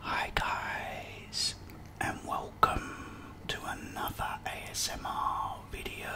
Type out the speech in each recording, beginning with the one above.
Hi guys and welcome to another ASMR video.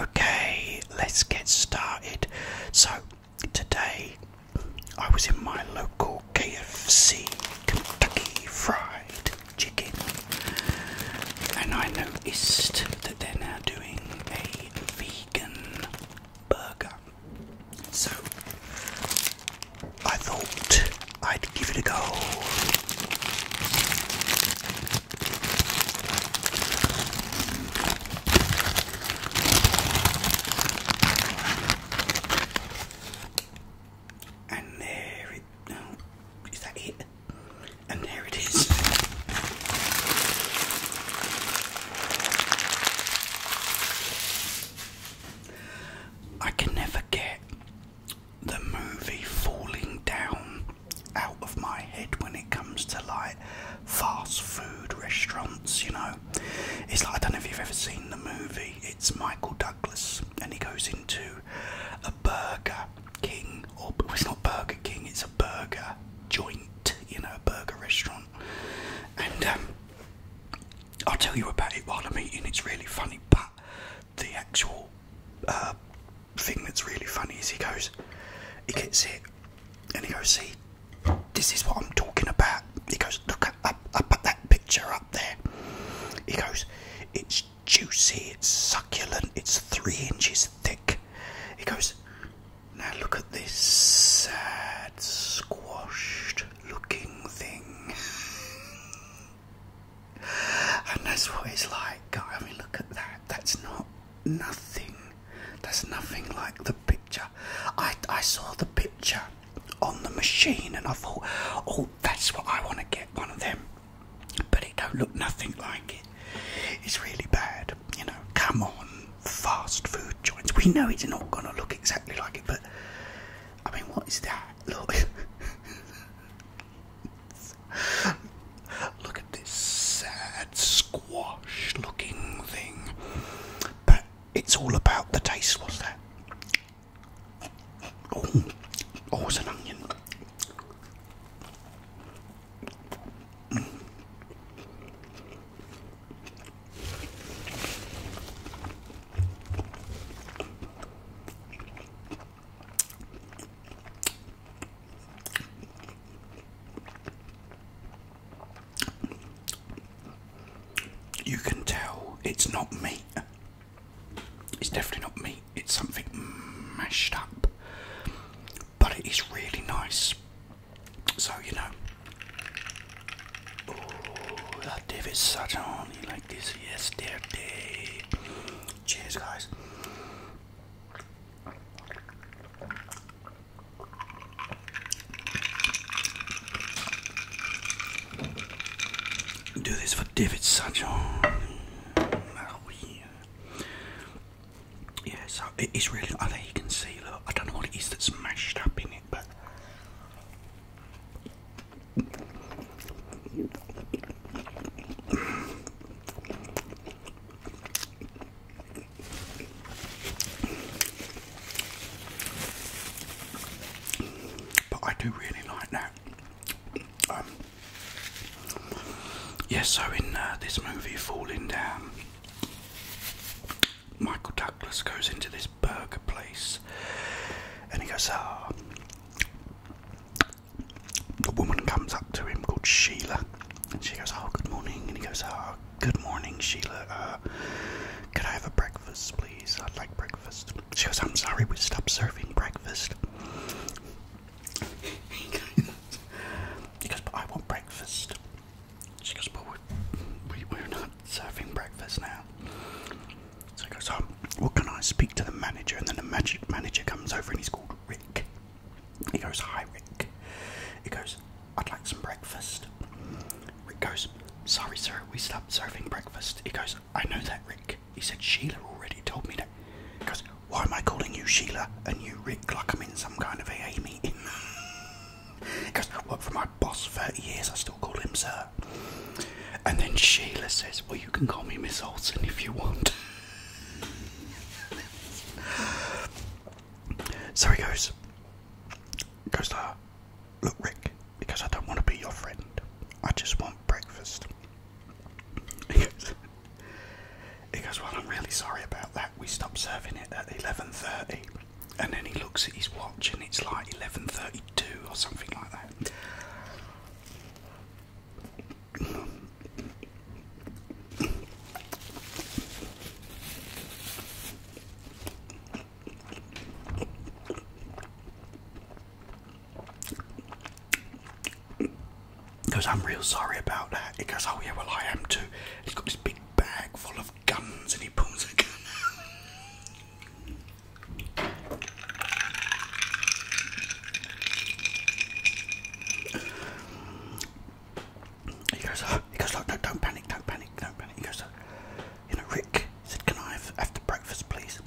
Okay, let's get started. So, today I was in my local KFC Kentucky Fried Chicken and I noticed that they're now doing a vegan burger. So I thought I'd give it a go. And there it is that it? And there it is. I can never get the movie falling down out of my head when it comes to like fast food restaurants, you know. It's like I don't know if you've ever seen the movie, it's Michael Douglas and he goes into a Burger King or well, it's not Burger King, it's a burger joint, you know, a burger restaurant. And um, I'll tell you about it while I'm eating, it's really funny. But the actual uh, thing that's really funny is he goes, he gets it, and he goes, See, this is what I'm talking about. He goes, Look up, up at that picture up there. He goes, It's juicy, it's succulent, it's three inches thick. He goes, now look at this sad, squashed looking thing. and that's what it's like. I mean, look at that. That's not nothing. That's nothing like the picture. I, I saw the picture on the machine and I thought, oh, that's what I want to get one of them. But it don't look nothing like it. It's really bad. You know, come on fast food joints. We know it's not gonna look exactly like it, but I mean, what is that? Look, look at this sad squash-looking thing. But it's all about the taste. What's that? Oh, oh, it's an onion. You can tell it's not meat. It's definitely not meat. It's something mashed up but it is really nice. So you know, oh, that David Sutton, he liked this yesterday. Cheers, guys. Do this for David Sutton. Oh, ah, oui. Yeah, so it is really. I think you can see. Look, I don't know what it is that's mashed up in it, but but I do really like that. Um, Yes, so in uh, this movie, Falling Down, Michael Douglas goes into this burger place and he goes, Ah. Oh. The woman comes up to him called Sheila and she goes, Oh, good morning. And he goes, Oh, good morning, Sheila. Uh, could I have a breakfast, please? I'd like breakfast. She goes, I'm sorry, we stopped serving breakfast. he goes, he goes, but I want breakfast. She goes, but we're, we, we're not serving breakfast now. So he goes, oh, What can I speak to the manager? And then the magic manager comes over and he's called Rick. He goes, hi, Rick. He goes, I'd like some breakfast. Rick goes, sorry, sir, we stopped serving breakfast. He goes, I know that, Rick. He said, Sheila already told me that. He goes, why am I calling you Sheila and you Rick like I'm in some kind of AA meeting? Because I worked for my boss 30 years, I still call him sir. And then Sheila says, Well, you can call me Miss Olson if you want. so he goes, Goes to uh, her, Look, Rick, because I don't want to be your friend, I just want breakfast. He goes, well, I'm really sorry about that. We stopped serving it at 11.30. And then he looks at his watch and it's like 11.32 or something like that. He goes, I'm real sorry about that. He goes, Oh, yeah, well, I am too. He's got this big bag full of guns and he pulls a gun He goes, oh, he goes, look, no, don't panic, don't panic, don't panic. He goes, you know, Rick he said, can I have, after breakfast, please?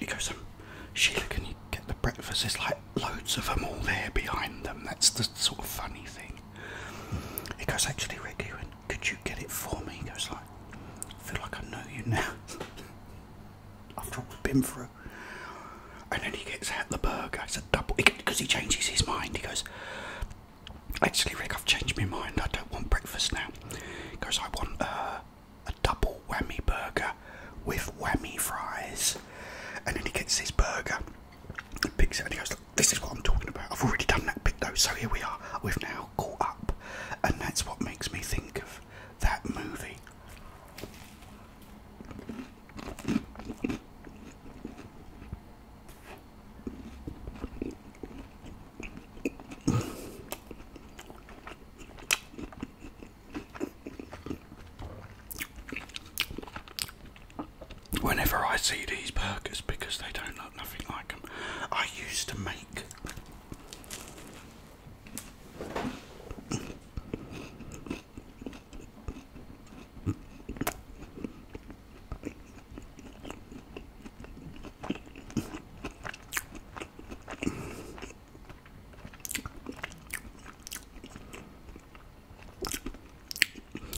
You go, so Sheila, can you get the breakfast? There's like loads of them all there behind them. That's the sort of funny thing. He goes, actually, Rick, he could you get it for me? He goes, like, I feel like I know you now. After all we've been through. And then he gets at the burger. It's a double, because he changes his mind. He goes, Actually, Rick, I've changed my mind. I don't want breakfast now because I want uh, a double whammy burger with whammy fries. And then he gets his burger, he picks it, and he goes, Look, This is what I'm talking about. I've already done that bit though, so here we are. We've now caught up. And that's what makes me think of that movie. Whenever I see these burgers, because they don't look nothing like them, I used to make.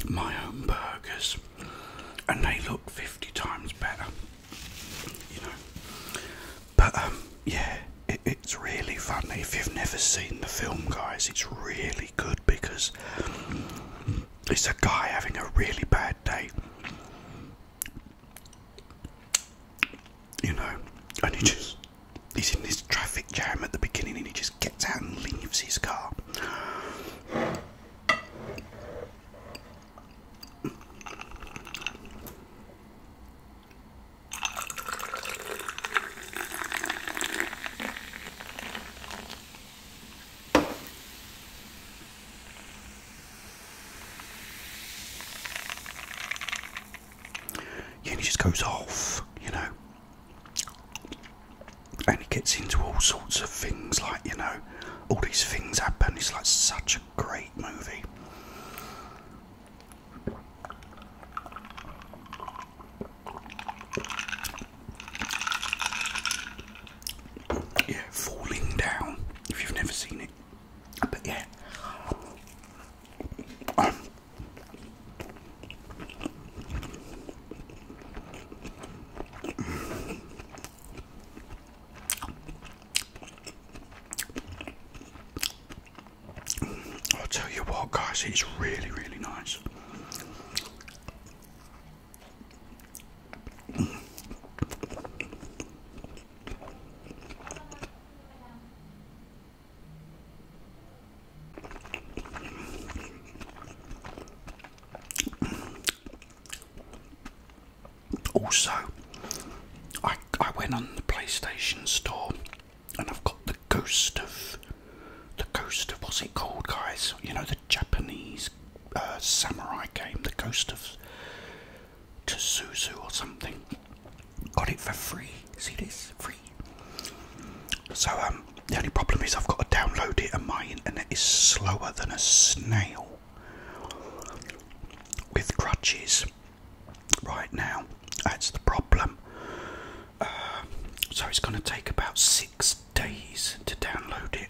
My own burgers, and they look 50 times better, you know. But, um, yeah, it's really funny. If you've never seen the film, guys, it's really good because it's a guy having a really bad day. You know, and he just he's in this traffic jam at the beginning and he just gets out and leaves his car. Yeah, and it just goes off, you know. And he gets into all sorts of things, like, you know, all these things happen. It's like such a great movie. Yeah, falling down. If you've never seen it, but yeah. I'll tell you what, guys, it's really, really nice. Also, I, I went on the PlayStation store and I've got the ghost of the ghost of what's it called, guys? You know the Japanese uh, samurai game, the Ghost of Tsuzu or something. Got it for free. See this free. So um, the only problem is I've got to download it, and my internet is slower than a snail. With crutches, right now. That's the problem. Uh, so it's going to take about six days to download it.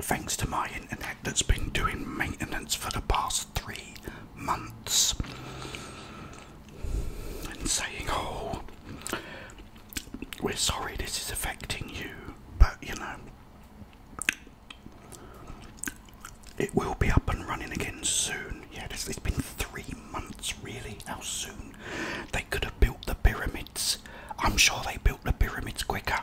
Thanks to my internet that's been doing maintenance for the past three months and saying, Oh, we're sorry this is affecting you, but you know, it will be up and running again soon. Yeah, it's been three months, really. How soon they could have built the pyramids. I'm sure they built the pyramids quicker.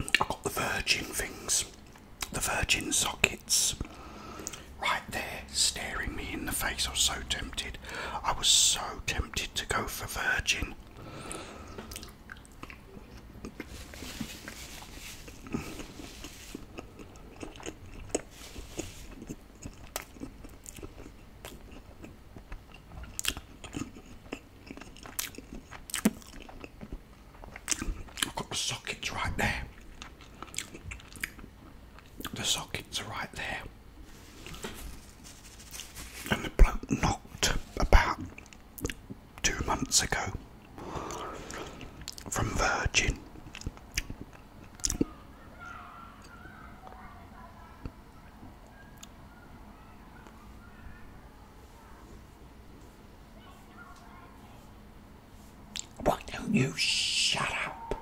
I got the virgin things, the virgin sockets, right there staring me in the face. I was so tempted. I was so tempted to go for virgin. I've got the sockets right there the sockets are right there. And the bloke knocked about two months ago from Virgin. Why don't you shut up?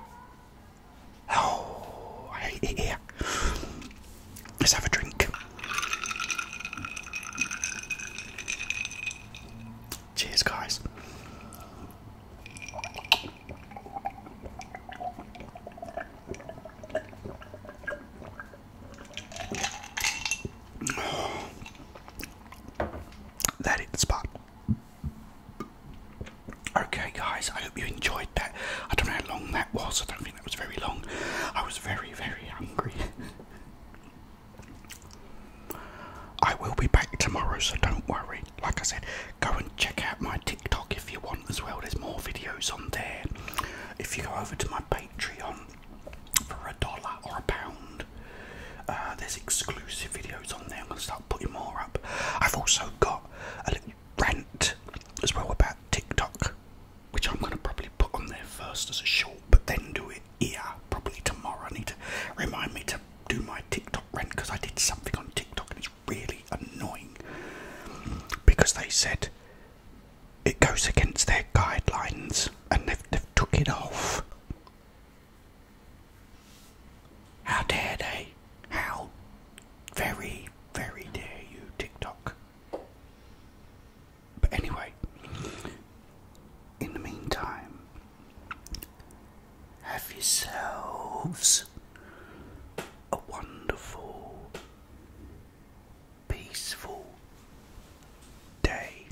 Oh, I hate it here. Let's have a drink. Cheers, guys. Oh. spot. Okay, guys, I hope you enjoyed that. I don't know how long that was, I don't think that was very long. I was very, very hungry. I will be back tomorrow, so don't worry. Like I said, go and check out my TikTok if you want as well. There's more videos on there. If you go over to my Patreon for a dollar or a pound, uh, there's exclusive videos on there. I'm going to start up, putting more up. I've also got a little rant as well about TikTok, which I'm going to probably put on there first as a short, but then do it here probably tomorrow. I need to remind me to do my TikTok rant because I did something on TikTok and it's really annoying because they said it goes against their guidelines and they've took it off. How dare they? How very, very dare you, TikTok. But anyway, in the meantime, have yourselves a wonderful, peaceful day.